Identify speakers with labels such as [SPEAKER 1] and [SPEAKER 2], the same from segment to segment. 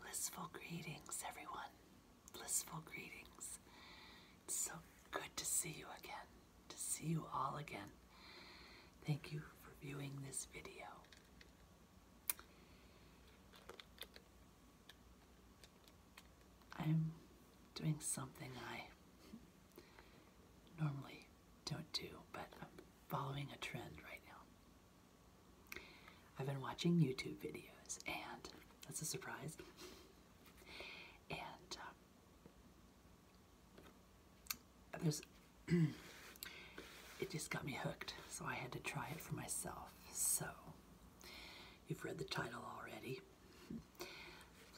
[SPEAKER 1] Blissful greetings, everyone. Blissful greetings. so good to see you again, to see you all again. Thank you for viewing this video. I'm doing something I normally don't do, but I'm following a trend right now. I've been watching YouTube videos, and that's a surprise. and uh, there's, it just got me hooked, so I had to try it for myself. So, you've read the title already.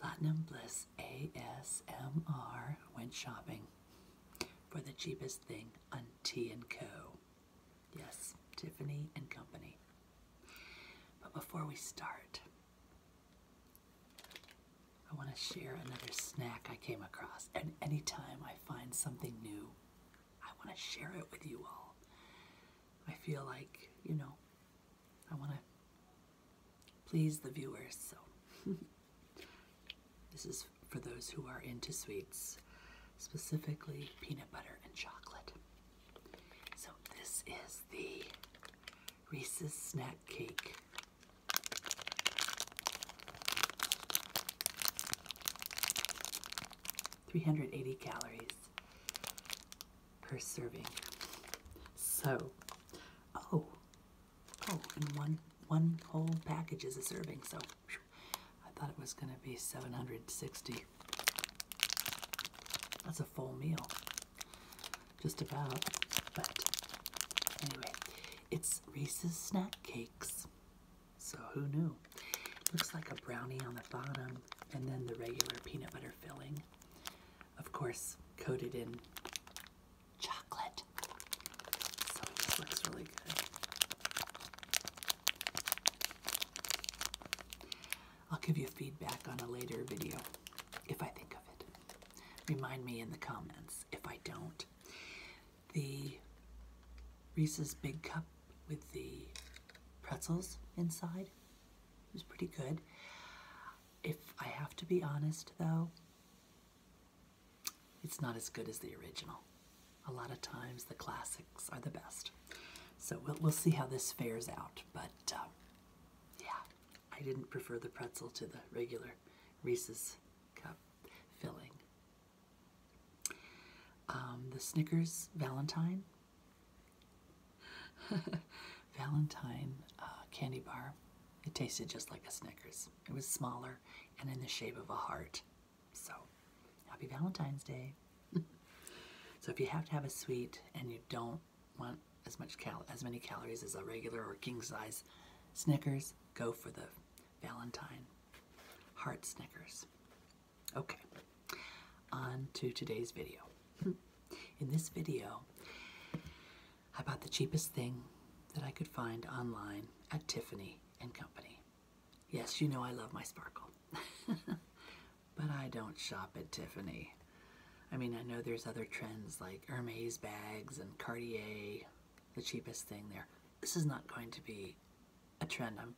[SPEAKER 1] Platinum Bliss ASMR went shopping for the cheapest thing on T & Co. Yes, Tiffany and Company. But before we start, I want to share another snack I came across. And anytime I find something new, I want to share it with you all. I feel like, you know, I want to please the viewers. So this is for those who are into sweets, specifically peanut butter and chocolate. So this is the Reese's snack cake. Three hundred eighty calories per serving. So, oh, Oh, and one one whole package is a serving, so I thought it was gonna be 760. That's a full meal. Just about. But anyway, it's Reese's snack cakes. So who knew? Looks like a brownie on the bottom and then the regular peanut butter filling. Of course, coated in chocolate. So this looks really good. I'll give you feedback on a later video if I think of it. Remind me in the comments if I don't. The Reese's Big Cup with the pretzels inside was pretty good. If I have to be honest, though, it's not as good as the original. A lot of times the classics are the best. So we'll, see how this fares out. But uh, yeah, I didn't prefer the pretzel to the regular Reese's cup filling. Um, the Snickers Valentine Valentine uh, candy bar. It tasted just like a Snickers. It was smaller and in the shape of a heart. So, happy Valentine's Day. so, if you have to have a sweet and you don't want as much cal as many calories as a regular or king size Snickers, go for the Valentine heart Snickers. Okay, on to today's video. In this video, I bought the cheapest thing that I could find online at Tiffany and Company. Yes, you know I love my sparkle, but I don't shop at Tiffany. I mean, I know there's other trends like Hermes bags and Cartier, the cheapest thing there. This is not going to be a trend I'm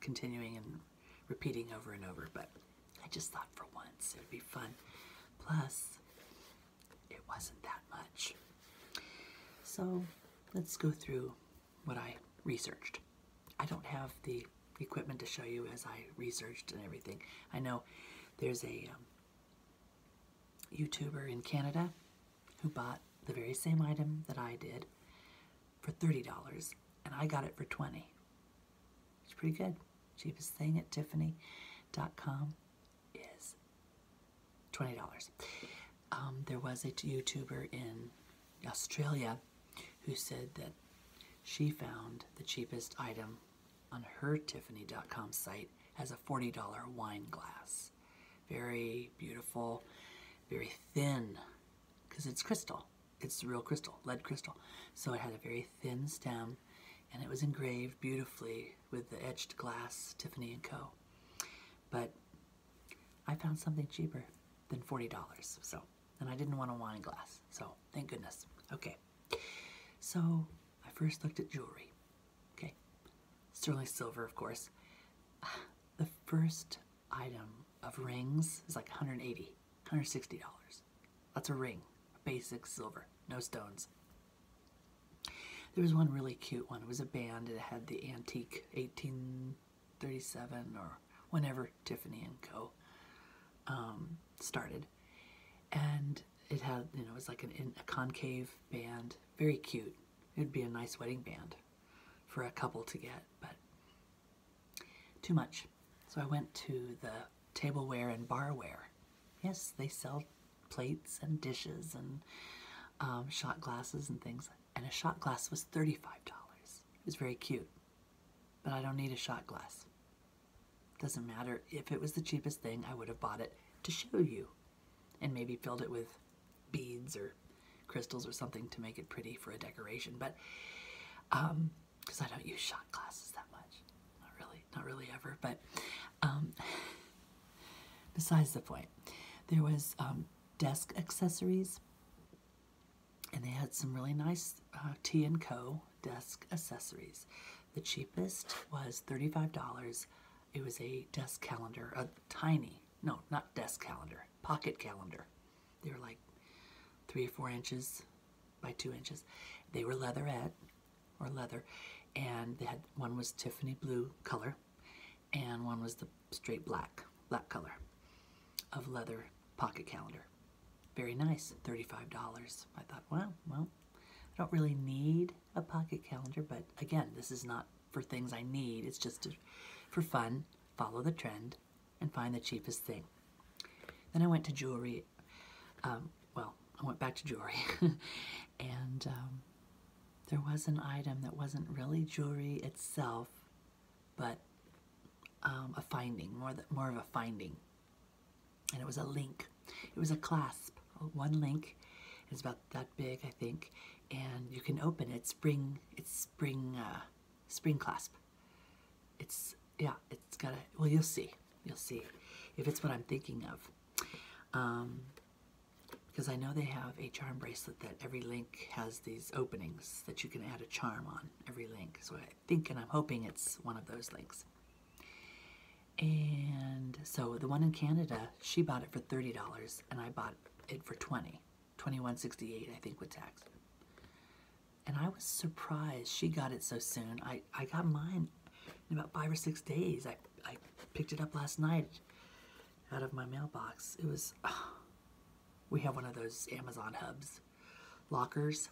[SPEAKER 1] continuing and repeating over and over, but I just thought for once it would be fun. Plus, it wasn't that much. So let's go through what I researched. I don't have the equipment to show you as I researched and everything. I know there's a um, YouTuber in Canada who bought the very same item that I did for $30 and I got it for 20 it's pretty good. Cheapest thing at Tiffany.com is $20. Um, there was a YouTuber in Australia who said that she found the cheapest item on her Tiffany.com site as a $40 wine glass. Very beautiful, very thin, because it's crystal it's real crystal, lead crystal. So it had a very thin stem and it was engraved beautifully with the etched glass Tiffany and Co. But I found something cheaper than $40, so, and I didn't want a wine glass, so thank goodness. Okay, so I first looked at jewelry, okay, sterling silver, of course. The first item of rings is like 180. $160. That's a ring, basic silver, no stones. There was one really cute one. It was a band. that had the antique 1837 or whenever Tiffany and Co. Um, started, and it had you know it was like a concave band, very cute. It'd be a nice wedding band for a couple to get, but too much. So I went to the tableware and barware. Yes, they sell plates and dishes and um, shot glasses and things. And a shot glass was $35. It was very cute. But I don't need a shot glass. Doesn't matter. If it was the cheapest thing, I would have bought it to show you. And maybe filled it with beads or crystals or something to make it pretty for a decoration. But um, because I don't use shot glasses that much. Not really, not really ever, but um, besides the point, there was um, desk accessories and they had some really nice uh, T & Co desk accessories. The cheapest was $35. It was a desk calendar, a tiny, no, not desk calendar, pocket calendar. They were like three or four inches by two inches. They were leatherette or leather, and they had one was Tiffany blue color, and one was the straight black black color of leather pocket calendar. Very nice, thirty-five dollars. I thought, wow, well, I don't really need a pocket calendar, but again, this is not for things I need. It's just for fun, follow the trend, and find the cheapest thing. Then I went to jewelry. Um, well, I went back to jewelry. and um, there was an item that wasn't really jewelry itself, but um, a finding, more, the, more of a finding. And it was a link. It was a clasp, one link. It's about that big, I think. And you can open it. spring, it's spring uh, spring clasp. It's, yeah, it's got a, well, you'll see. You'll see if it's what I'm thinking of. Um, because I know they have a charm bracelet that every link has these openings that you can add a charm on every link. So I think and I'm hoping it's one of those links. And so the one in Canada, she bought it for $30 and I bought it for 20 2168 I think with tax. And I was surprised she got it so soon. I, I got mine in about five or six days. I, I picked it up last night out of my mailbox. It was, we have one of those Amazon hubs, lockers.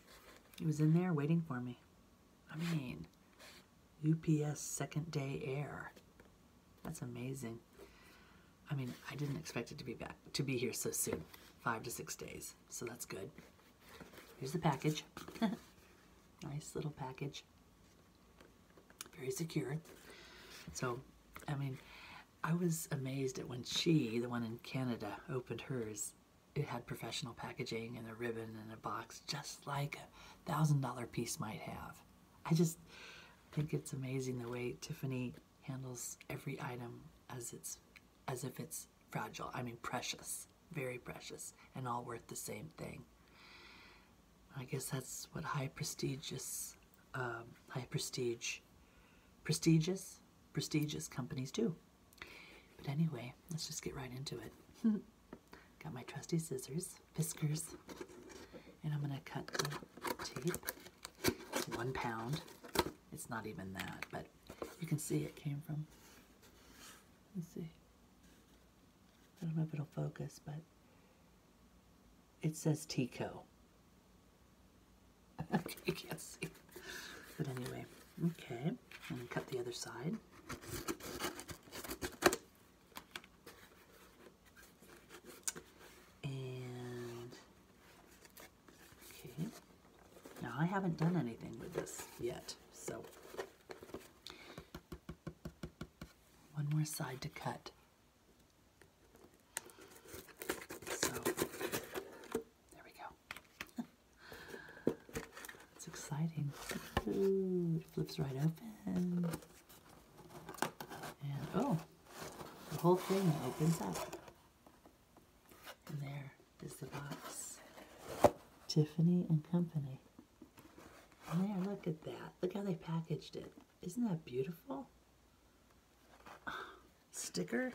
[SPEAKER 1] It was in there waiting for me. I mean, UPS second day air. That's amazing. I mean, I didn't expect it to be back to be here so soon, five to six days. So that's good. Here's the package. nice little package. Very secure. So, I mean, I was amazed at when she, the one in Canada, opened hers. It had professional packaging and a ribbon and a box, just like a thousand dollar piece might have. I just think it's amazing the way Tiffany handles every item as it's as if it's fragile i mean precious very precious and all worth the same thing i guess that's what high prestigious um, high prestige prestigious prestigious companies do but anyway let's just get right into it got my trusty scissors piskers and i'm going to cut the tape one pound. It's not even that, but you can see it came from. Let's see. I don't know if it'll focus, but it says Tico. Okay, you can't see. But anyway, okay. And cut the other side. And, okay. Now I haven't done anything with this yet, so. One more side to cut. So, there we go. It's exciting. flips right open. And oh, the whole thing opens up. And there is the box. Tiffany and Company. there, look at that. Look how they packaged it. Isn't that beautiful? Sticker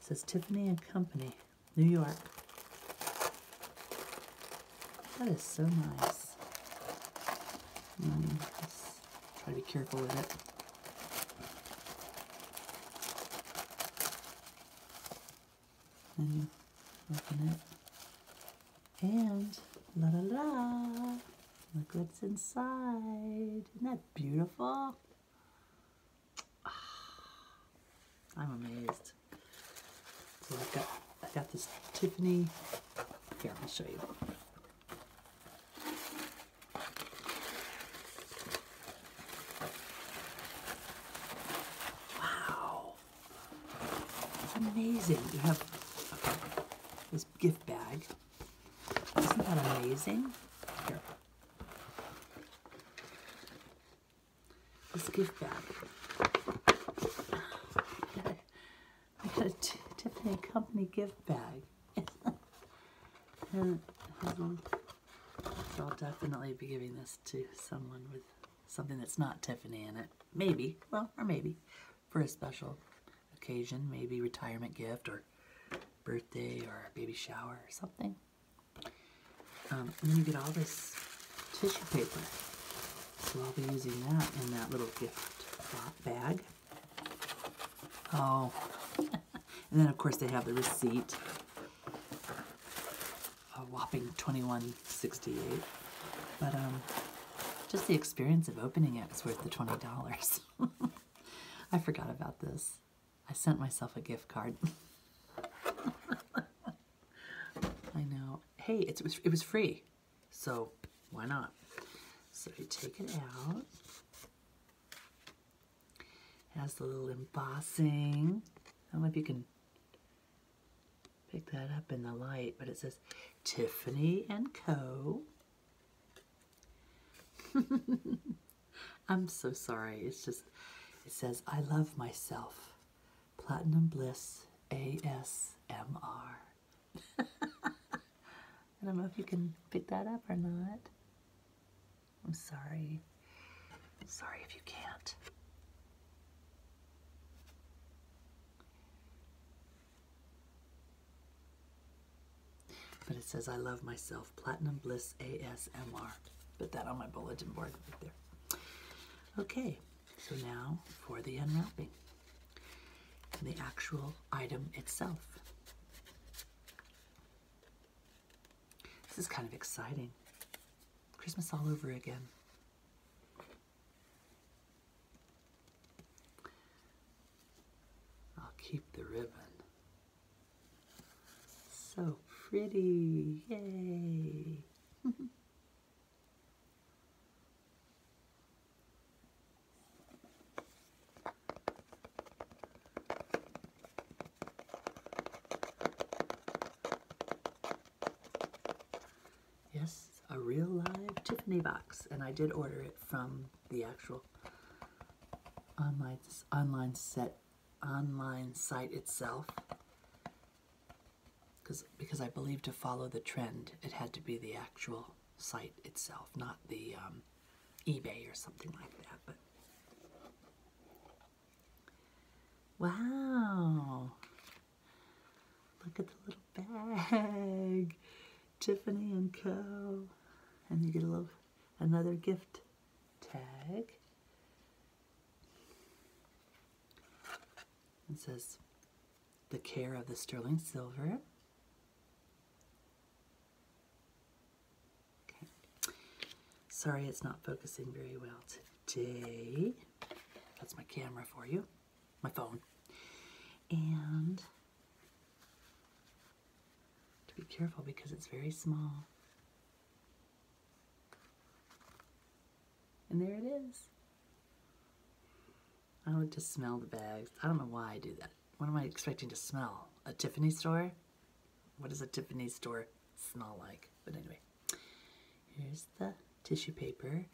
[SPEAKER 1] says Tiffany and Company, New York. That is so nice. Mm, try to be careful with it. And open it. And la la la. Look what's inside. Isn't that beautiful? Ah, I'm amazed. So i got, i got this Tiffany here, I'll show you. Wow. It's amazing. You have this gift bag. Isn't that amazing? Here. This gift bag. I got a Tiffany Company gift bag. so I'll definitely be giving this to someone with something that's not Tiffany in it. Maybe, well, or maybe, for a special occasion, maybe retirement gift or birthday or baby shower or something. Um, and then you get all this tissue paper. So I'll be using that in that little gift bag. Oh, and then of course they have the receipt. A whopping 2168. But um, just the experience of opening it was worth the $20. I forgot about this. I sent myself a gift card. I know. Hey, it was it was free. So why not? So you take it out. It has the little embossing. I don't know if you can pick that up in the light, but it says Tiffany and Co. I'm so sorry. It's just, it says, I love myself. Platinum Bliss A S don't know if you can pick that up or not. I'm sorry. Sorry if you can't. But it says, I love myself, Platinum Bliss ASMR. Put that on my bulletin board right there. Okay, so now for the unwrapping. The actual item itself. This is kind of exciting. Christmas all over again. I'll keep the ribbon. So pretty, yay. Yes, a real live Tiffany box, and I did order it from the actual online online set online site itself because because I believe to follow the trend, it had to be the actual site itself, not the um, eBay or something like that. But wow, look at the little bag, Tiffany and Co. And you get a little another gift tag. It says, the care of the sterling silver. Okay. Sorry it's not focusing very well today. That's my camera for you, my phone. And to be careful because it's very small. And there it is. I like to smell the bags. I don't know why I do that. What am I expecting to smell? A Tiffany store? What does a Tiffany store smell like? But anyway, here's the tissue paper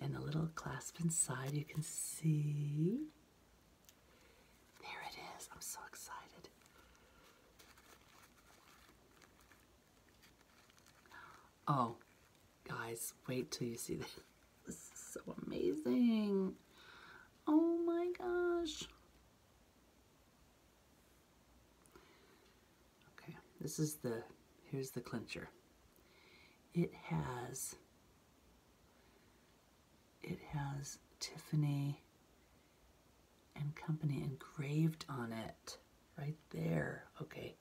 [SPEAKER 1] and the little clasp inside you can see. There it is. I'm so excited. Oh, guys, wait till you see this. This is so amazing. Oh my gosh. Okay, this is the, here's the clincher. It has, it has Tiffany and Company engraved on it right there. Okay.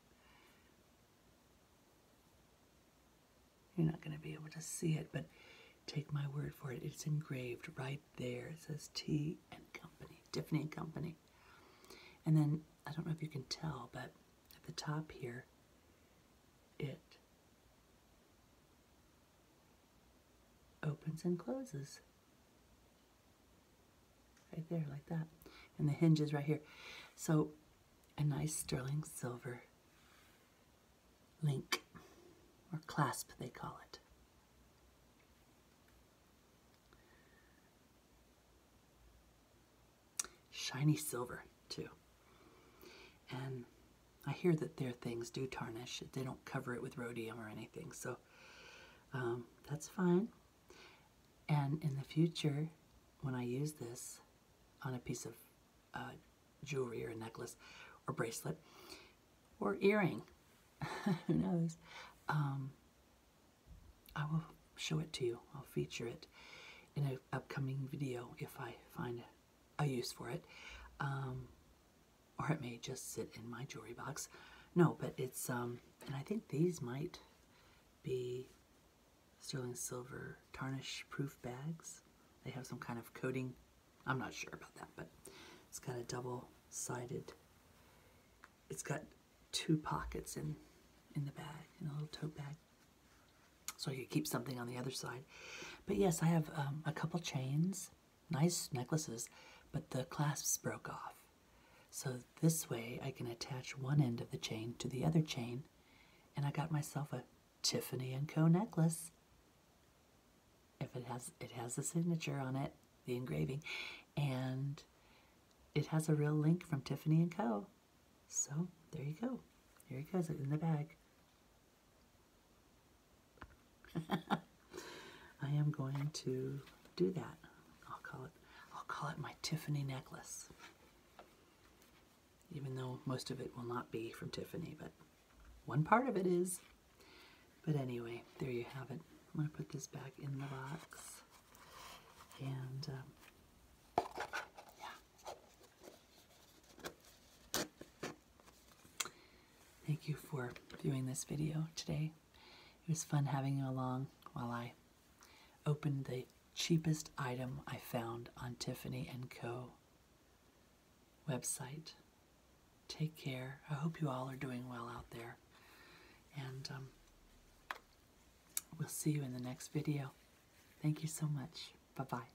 [SPEAKER 1] You're not going to be able to see it, but take my word for it. It's engraved right there. It says T and Company, Tiffany and Company. And then I don't know if you can tell, but at the top here, it opens and closes. Right there, like that. And the hinges right here. So a nice sterling silver link or clasp, they call it. Shiny silver, too. And I hear that their things do tarnish. They don't cover it with rhodium or anything. So um, that's fine. And in the future, when I use this on a piece of uh, jewelry or a necklace or bracelet or earring, who knows, um, I will show it to you. I'll feature it in an upcoming video if I find a use for it. Um, or it may just sit in my jewelry box. No, but it's, um, and I think these might be sterling silver tarnish proof bags. They have some kind of coating. I'm not sure about that, but it's got a double sided, it's got two pockets in, in the bag, in a little tote bag. So you keep something on the other side. But yes, I have um, a couple chains nice necklaces, but the clasps broke off. So this way I can attach one end of the chain to the other chain and I got myself a Tiffany & Co. necklace. If it has, it has a signature on it, the engraving, and it has a real link from Tiffany & Co. So there you go. Here it goes in the bag. I am going to do that. I'll call it I'll call it my Tiffany necklace. Even though most of it will not be from Tiffany, but one part of it is. But anyway, there you have it. I'm going to put this back in the box. And um, yeah. Thank you for viewing this video today. It was fun having you along while I opened the cheapest item I found on Tiffany & Co. website. Take care. I hope you all are doing well out there. And um, we'll see you in the next video. Thank you so much. Bye-bye.